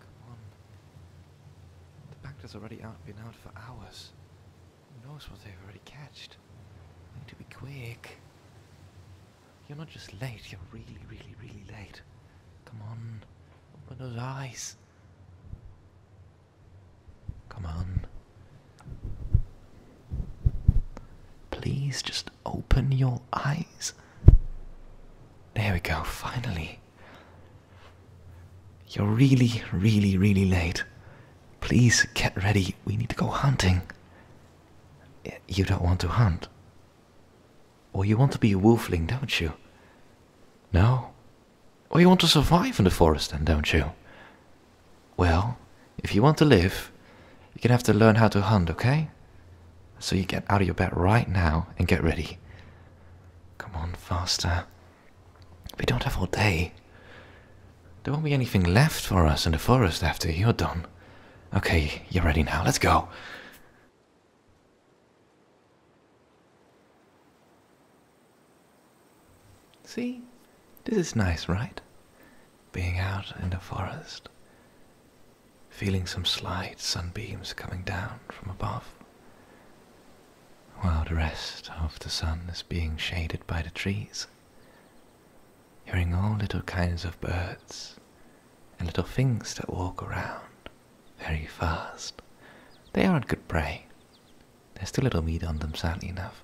Come on. The Bacter's already been out for hours. Who knows what they've already catched? need to be quick. You're not just late, you're really, really, really late. Come on. Open those eyes. Come on. Please just open your eyes? There we go, finally. You're really, really, really late. Please get ready. We need to go hunting. You don't want to hunt. Or you want to be a wolfling, don't you? No. Or you want to survive in the forest, then, don't you? Well, if you want to live, you're gonna have to learn how to hunt, okay? So you get out of your bed right now and get ready. Come on, faster. We don't have all day. There won't be anything left for us in the forest after you're done. Okay, you're ready now. Let's go. See? This is nice, right? being out in the forest, feeling some slight sunbeams coming down from above, while the rest of the sun is being shaded by the trees, hearing all little kinds of birds and little things that walk around very fast. They aren't good prey. There's too little meat on them, sadly enough.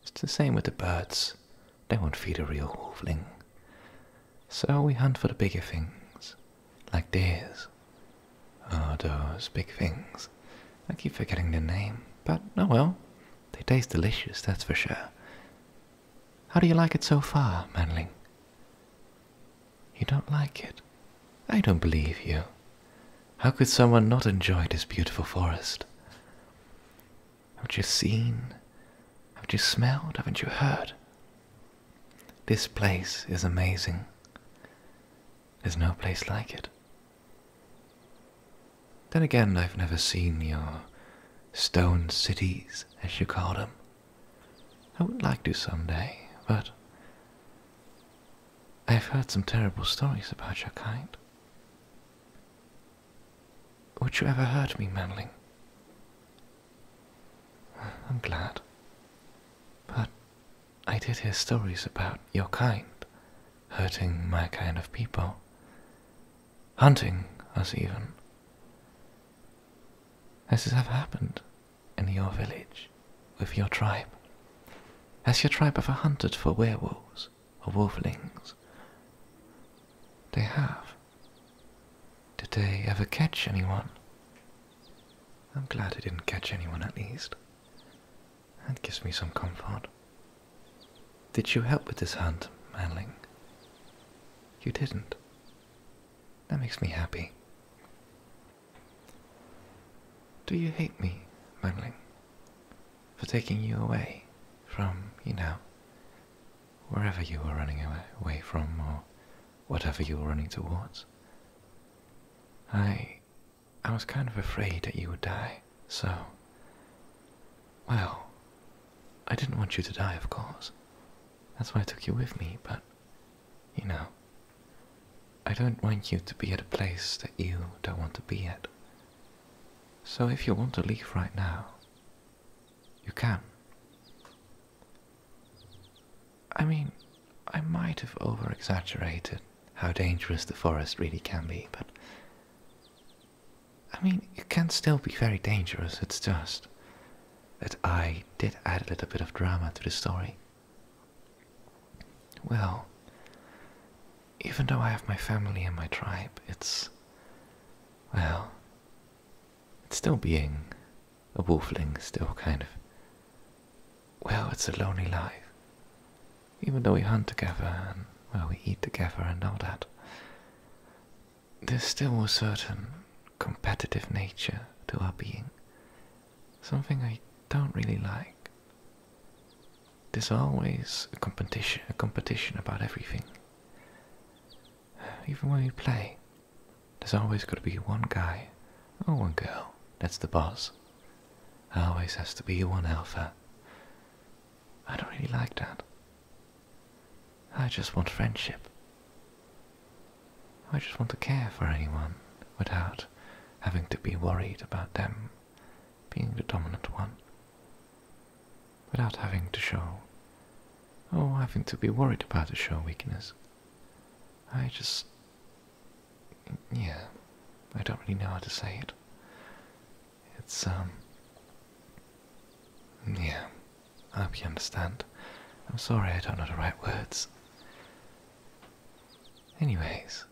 It's the same with the birds. They won't feed a real wolfling. So we hunt for the bigger things, like deers. Oh, those big things. I keep forgetting their name, but oh well. They taste delicious, that's for sure. How do you like it so far, Manling? You don't like it? I don't believe you. How could someone not enjoy this beautiful forest? Haven't you seen? Haven't you smelled? Haven't you heard? This place is amazing. There's no place like it. Then again, I've never seen your stone cities, as you call them. I would like to someday, but I've heard some terrible stories about your kind. Would you ever hurt me, Manling? I'm glad. But I did hear stories about your kind hurting my kind of people, hunting us even. Has this ever happened in your village with your tribe? Has your tribe ever hunted for werewolves? numbers of wolflings. They have. Did they ever catch anyone? I'm glad they didn't catch anyone at least. That gives me some comfort. Did you help with this hunt, Manling? You didn't. That makes me happy. Do you hate me, Manling? for taking you away from, you know, wherever you were running away from or whatever you were running towards. I. I was kind of afraid that you would die, so. Well, I didn't want you to die, of course. That's why I took you with me, but, you know, I don't want you to be at a place that you don't want to be at. So if you want to leave right now, you can. I mean, I might have over exaggerated how dangerous the forest really can be, but. I mean, it can still be very dangerous, it's just that I did add a little bit of drama to the story. Well, even though I have my family and my tribe, it's. well. It's still being a wolfling, still kind of. Well, it's a lonely life. Even though we hunt together and, well, we eat together and all that, there's still a certain competitive nature to our being. Something I don't really like. There's always a competition, a competition about everything. Even when we play, there's always got to be one guy or one girl that's the boss. There always has to be one alpha. I don't really like that. I just want friendship. I just want to care for anyone without having to be worried about them being the dominant one, without having to show or having to be worried about a show weakness. I just. yeah, I don't really know how to say it. It's, um. yeah, I hope you understand. I'm sorry I don't know the right words. Anyways,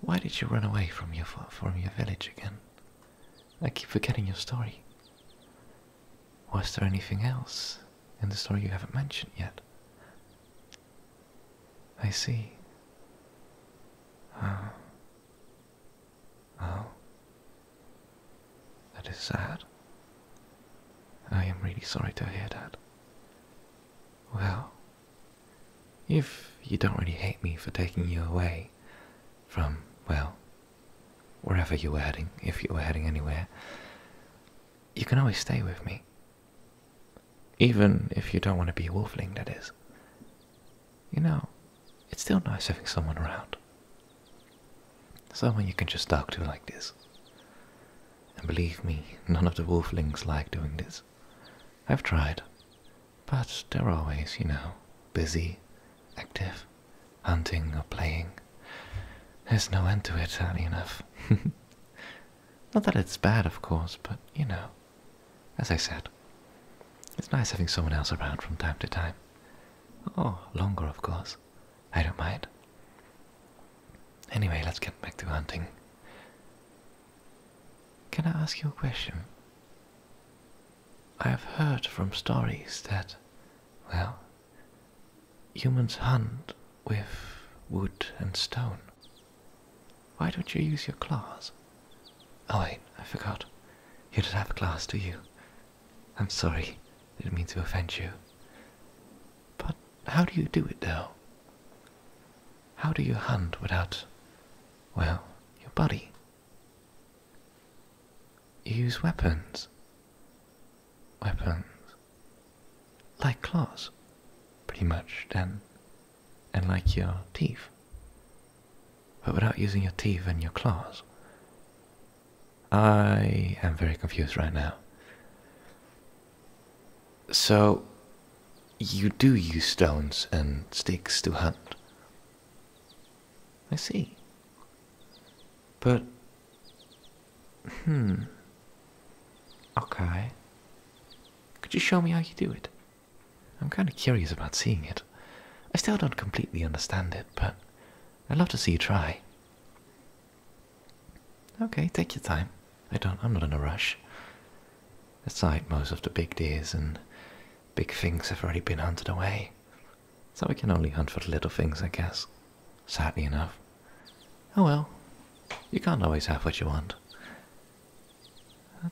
why did you run away from your from your village again? I keep forgetting your story. Was there anything else in the story you haven't mentioned yet? I see. Oh. Oh. That is sad. I am really sorry to hear that. Well, if you don't really hate me for taking you away from, well, wherever you were heading, if you were heading anywhere, you can always stay with me. Even if you don't want to be a wolfling, that is. You know, it's still nice having someone around. Someone you can just talk to like this. And believe me, none of the wolflings like doing this. I've tried. But they're always, you know, busy, active, hunting or playing. There's no end to it, sadly enough. Not that it's bad, of course, but, you know, as I said, it's nice having someone else around from time to time. Or oh, longer, of course. I don't mind. Anyway, let's get back to hunting. Can I ask you a question? I have heard from stories that, well, humans hunt with wood and stone. Why don't you use your claws? Oh, wait, I forgot. You don't have claws, do you? I'm sorry, didn't mean to offend you. But how do you do it, though? How do you hunt without, well, your body? You use weapons. Weapons. Like claws, pretty much, then. And like your teeth. But without using your teeth and your claws. I am very confused right now. So, you do use stones and sticks to hunt? I see. But, hmm, okay. Could you show me how you do it? I'm kind of curious about seeing it. I still don't completely understand it, but I'd love to see you try. Okay, take your time. I don't, I'm not in a rush. Aside, most of the big deers and big things have already been hunted away. So we can only hunt for the little things, I guess. Sadly enough. Oh well, you can't always have what you want.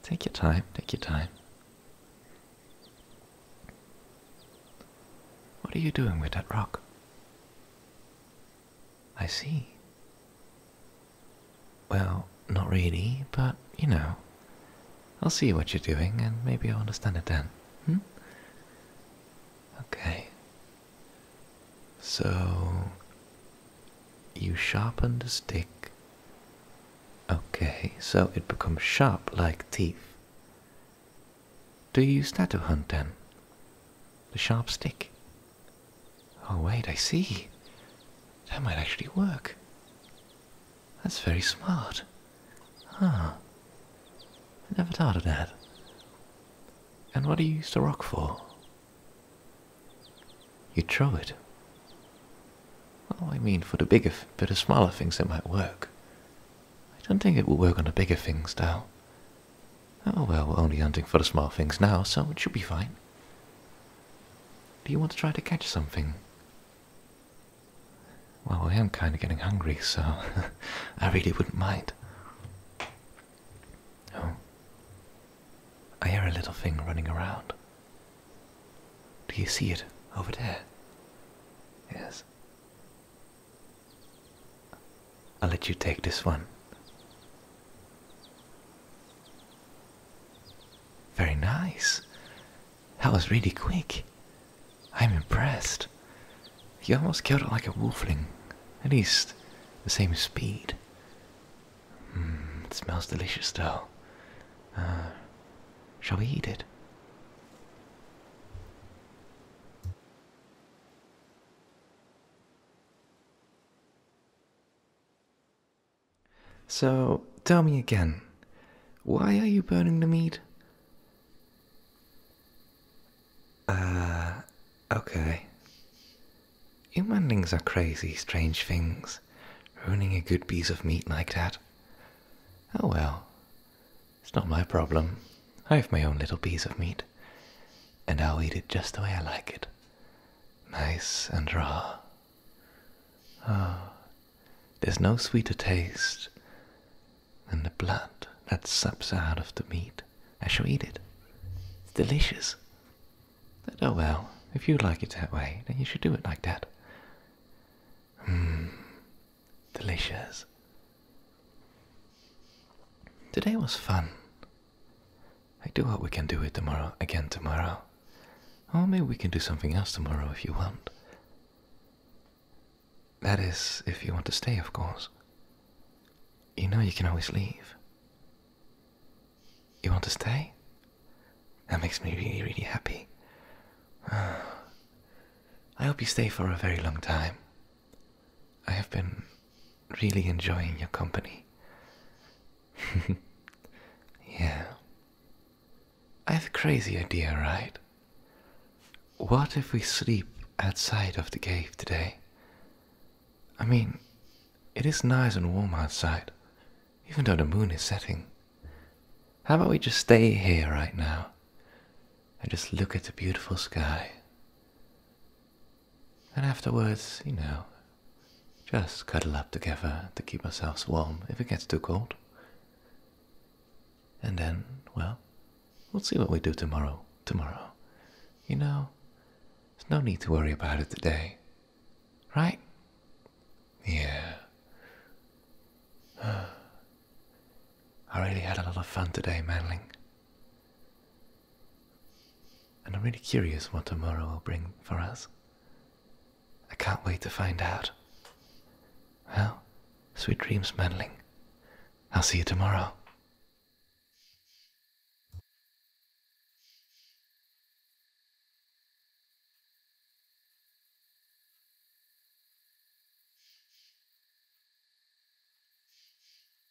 Take your time, take your time. What are you doing with that rock? I see. Well, not really, but you know. I'll see what you're doing and maybe I'll understand it then. Hmm? Okay. So. You sharpen the stick. Okay, so it becomes sharp like teeth. Do you use that to hunt then? The sharp stick. Oh, wait, I see. That might actually work. That's very smart. Huh. I never thought of that. And what do you use the rock for? You throw it. Well, I mean for the bigger, but the smaller things it might work. I don't think it will work on the bigger things, though. Oh well, we're only hunting for the small things now, so it should be fine. Do you want to try to catch something? Well, I am kind of getting hungry, so I really wouldn't mind. Oh. I hear a little thing running around. Do you see it over there? Yes. I'll let you take this one. Very nice. That was really quick. I'm impressed. You almost killed it like a wolfling. At least the same speed. Hmm, it smells delicious though. Uh, shall we eat it? So tell me again, why are you burning the meat? Uh, okay. Humanlings are crazy, strange things, ruining a good piece of meat like that. Oh well, it's not my problem. I have my own little piece of meat and I'll eat it just the way I like it. Nice and raw. Oh, there's no sweeter taste than the blood that sups out of the meat I shall eat it. It's delicious. But oh well, if you like it that way, then you should do it like that. Mmm, delicious. Today was fun. I do hope we can do it tomorrow again tomorrow. Or maybe we can do something else tomorrow if you want. That is, if you want to stay, of course. You know you can always leave. You want to stay? That makes me really, really happy. I hope you stay for a very long time. I have been really enjoying your company. yeah. I have a crazy idea, right? What if we sleep outside of the cave today? I mean, it is nice and warm outside, even though the moon is setting. How about we just stay here right now and just look at the beautiful sky? And afterwards, you know, just cuddle up together to keep ourselves warm if it gets too cold. And then, well, we'll see what we do tomorrow. Tomorrow. You know, there's no need to worry about it today. Right? Yeah. I really had a lot of fun today, Manling. And I'm really curious what tomorrow will bring for us. I can't wait to find out. Well, sweet dreams, Madeline. I'll see you tomorrow.